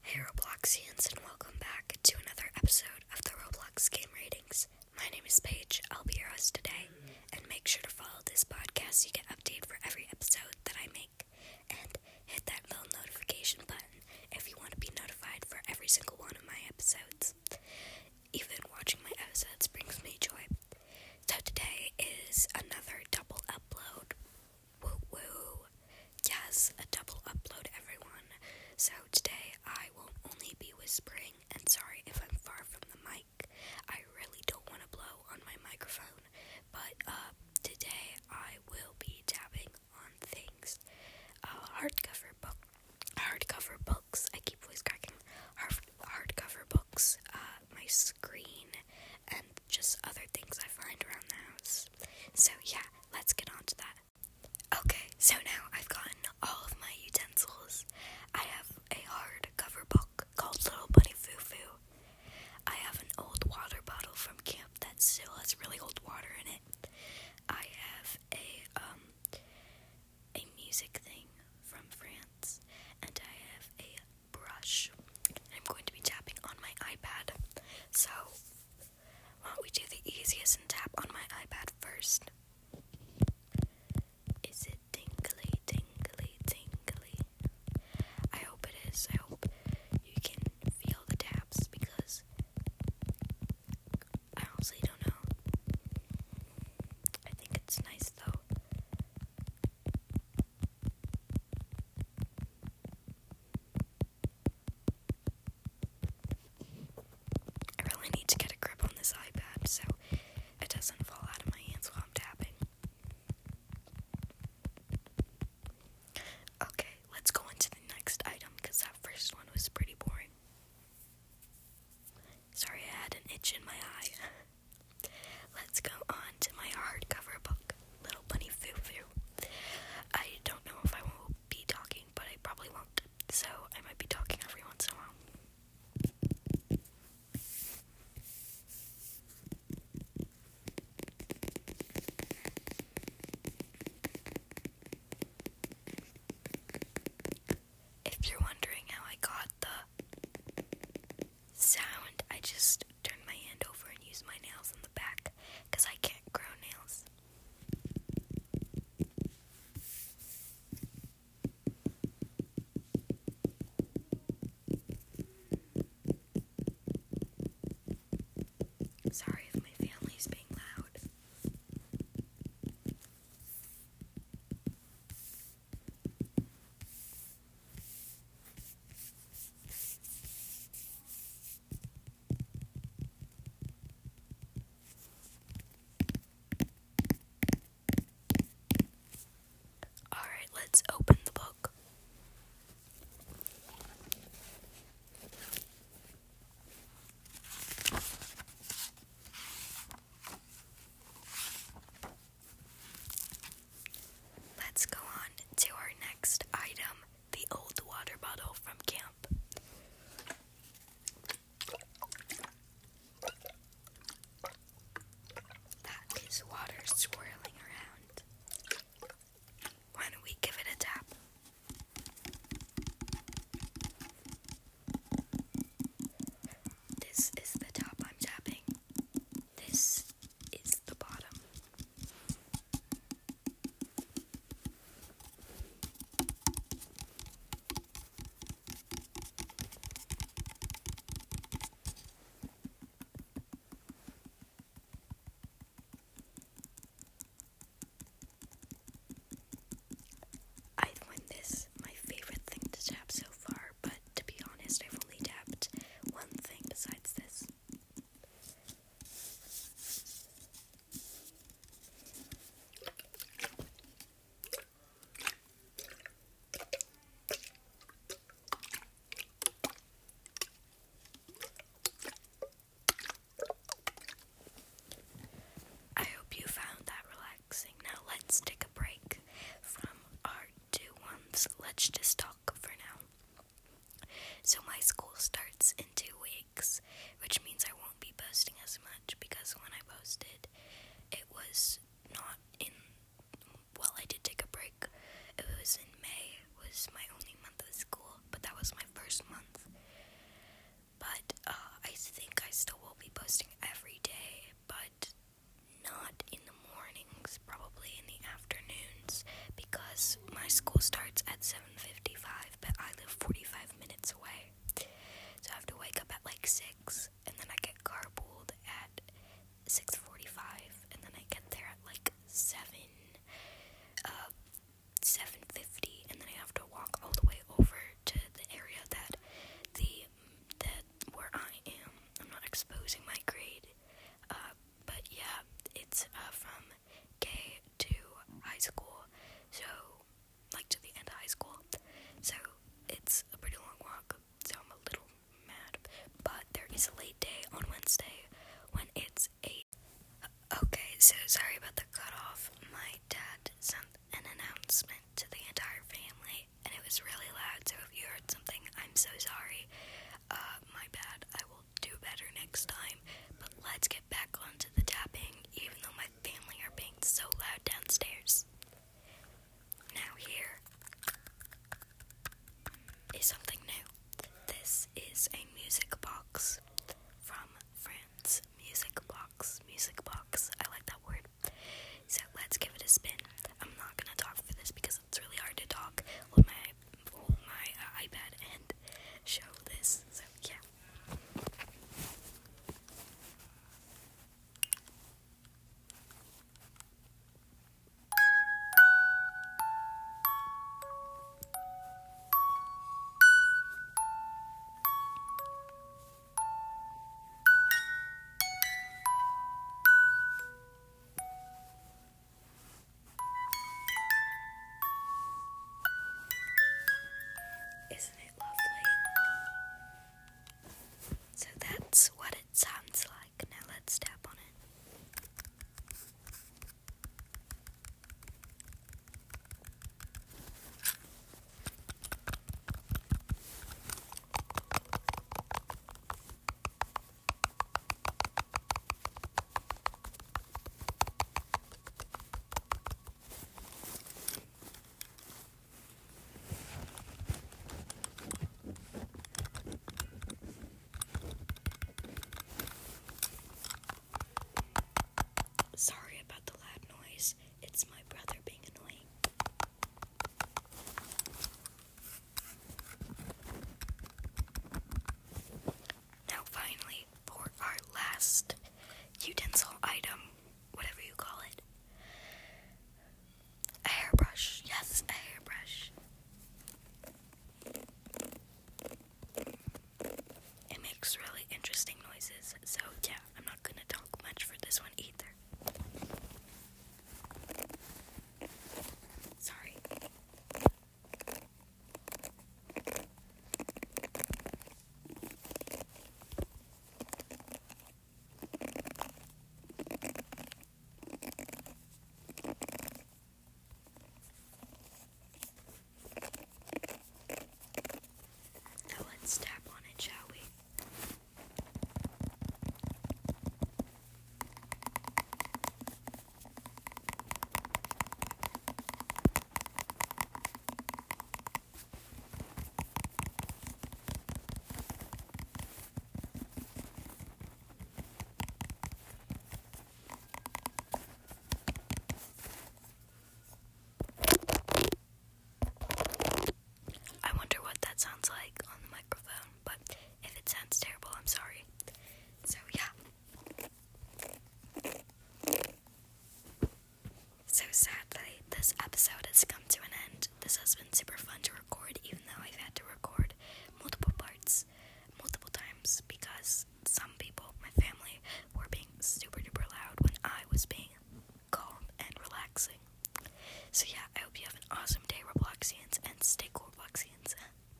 Hey Robloxians and welcome back to another episode of the Roblox Game Ratings. My name is Paige, I'll be your host today, and make sure to follow this podcast so you get updated for every episode that I make. And hit that little notification button if you want to be notified for every single one of my episodes. Even watching my episodes brings me joy. So today is another double upload Woo woo! Yes, a double upload, everyone. So today I will only be whispering, and sorry if I'm far from the mic. I really don't want to blow on my microphone, but uh, today I will be dabbing on things. Uh, hardcover book, hardcover books. I keep voice cracking. Hard, hardcover books. Uh, my screen and just other things I find around the house. So, yeah, let's get on to that. Okay, so now I've gotten all of my utensils. I have a hard cover book called Little Bunny Foo Foo. I have an old water bottle from camp that still has really old water in it. I have a um a music thing from France and I have a brush. I'm going to be tapping on my iPad. So why don't we do the easiest and tap on my iPad first? Is it tingly, tingly, tingly? I hope it is. I hope you can feel the taps because I honestly don't know. I think it's nice though. I really need to get a grip on this iPad so it doesn't fall out of my hands while I'm tapping. Okay, let's go on the next item because that first one was pretty boring. Sorry, I had an itch in my eye. let's go on to my hardcover book little bunny foo foo. I don't know if I will be talking, but I probably won't, so I might be talking every once in a while. If you're wondering how I got the sound, I just turned my hand over and used my nails, back because I can't grow nails. Sorry if my family's being loud. All right, let's open the book. Let's go on to our next item, the old water bottle from camp. That is water swirling around. Why we give it a tap? This is the top I'm tapping. This is the bottom. I've this, my favorite thing to tap so far, but to be honest, I've only tapped one thing besides this. I hope you found that relaxing. Now let's take a break from our two ones. Let's just talk for now. So my school starts in two weeks, which means I won't be posting as much because when I posted, it was not in. Well, I did take a break. It was in May, was my only month of school, but that was my first month. But uh, I think I still will be posting every day, but not in the mornings, probably in the afternoons, because my school starts at 7:55, but I live 45 minutes away. So I have to wake up at like 6 and then I get carpool at 6:45 and then I get there at like 7 uh 7:50 and then I have to walk all the way over to the area that the that where I am. I'm not exposing my grade. Uh but yeah, it's uh, from Okay, to high school, so like to the end of high school. So it's a pretty long walk, so I'm a little mad. But there is a late day on Wednesday when it's eight. Okay, so sorry about the cut off. My dad sent an announcement to the entire family, and it was really loud. So if you heard something, I'm so sorry. Uh, my bad. I will do better next time. But let's get back onto the tapping, even though my family are being so loud downstairs. Now, here is something new. This is a music box from France. Music box, music box. I like that word. So let's give it a spin. I'm not gonna talk for this because it's really hard to talk with my hold my uh, iPad and show this. So yeah. Isn't it lovely? So that's what it sounds like. Now let's tap on it. Sorry about the loud noise. It's my brother being annoying. Now, finally, for our last utensil item, whatever you call it, a hairbrush. Yes, a hairbrush. It makes really interesting noises, so yeah, I'm not gonna talk much for this one either. Sorry. Now let's tap on it, shall we? I wonder what that sounds like on the microphone, but if it sounds terrible, I'm sorry. So, yeah. So sadly, this episode has come to an end. This has been super fun to record, even though I've had to record multiple parts multiple times because some people, my family, were being super duper loud when I was being calm and relaxing. So, yeah, I hope you have an awesome day, Robloxians, and stay cool, Robloxians.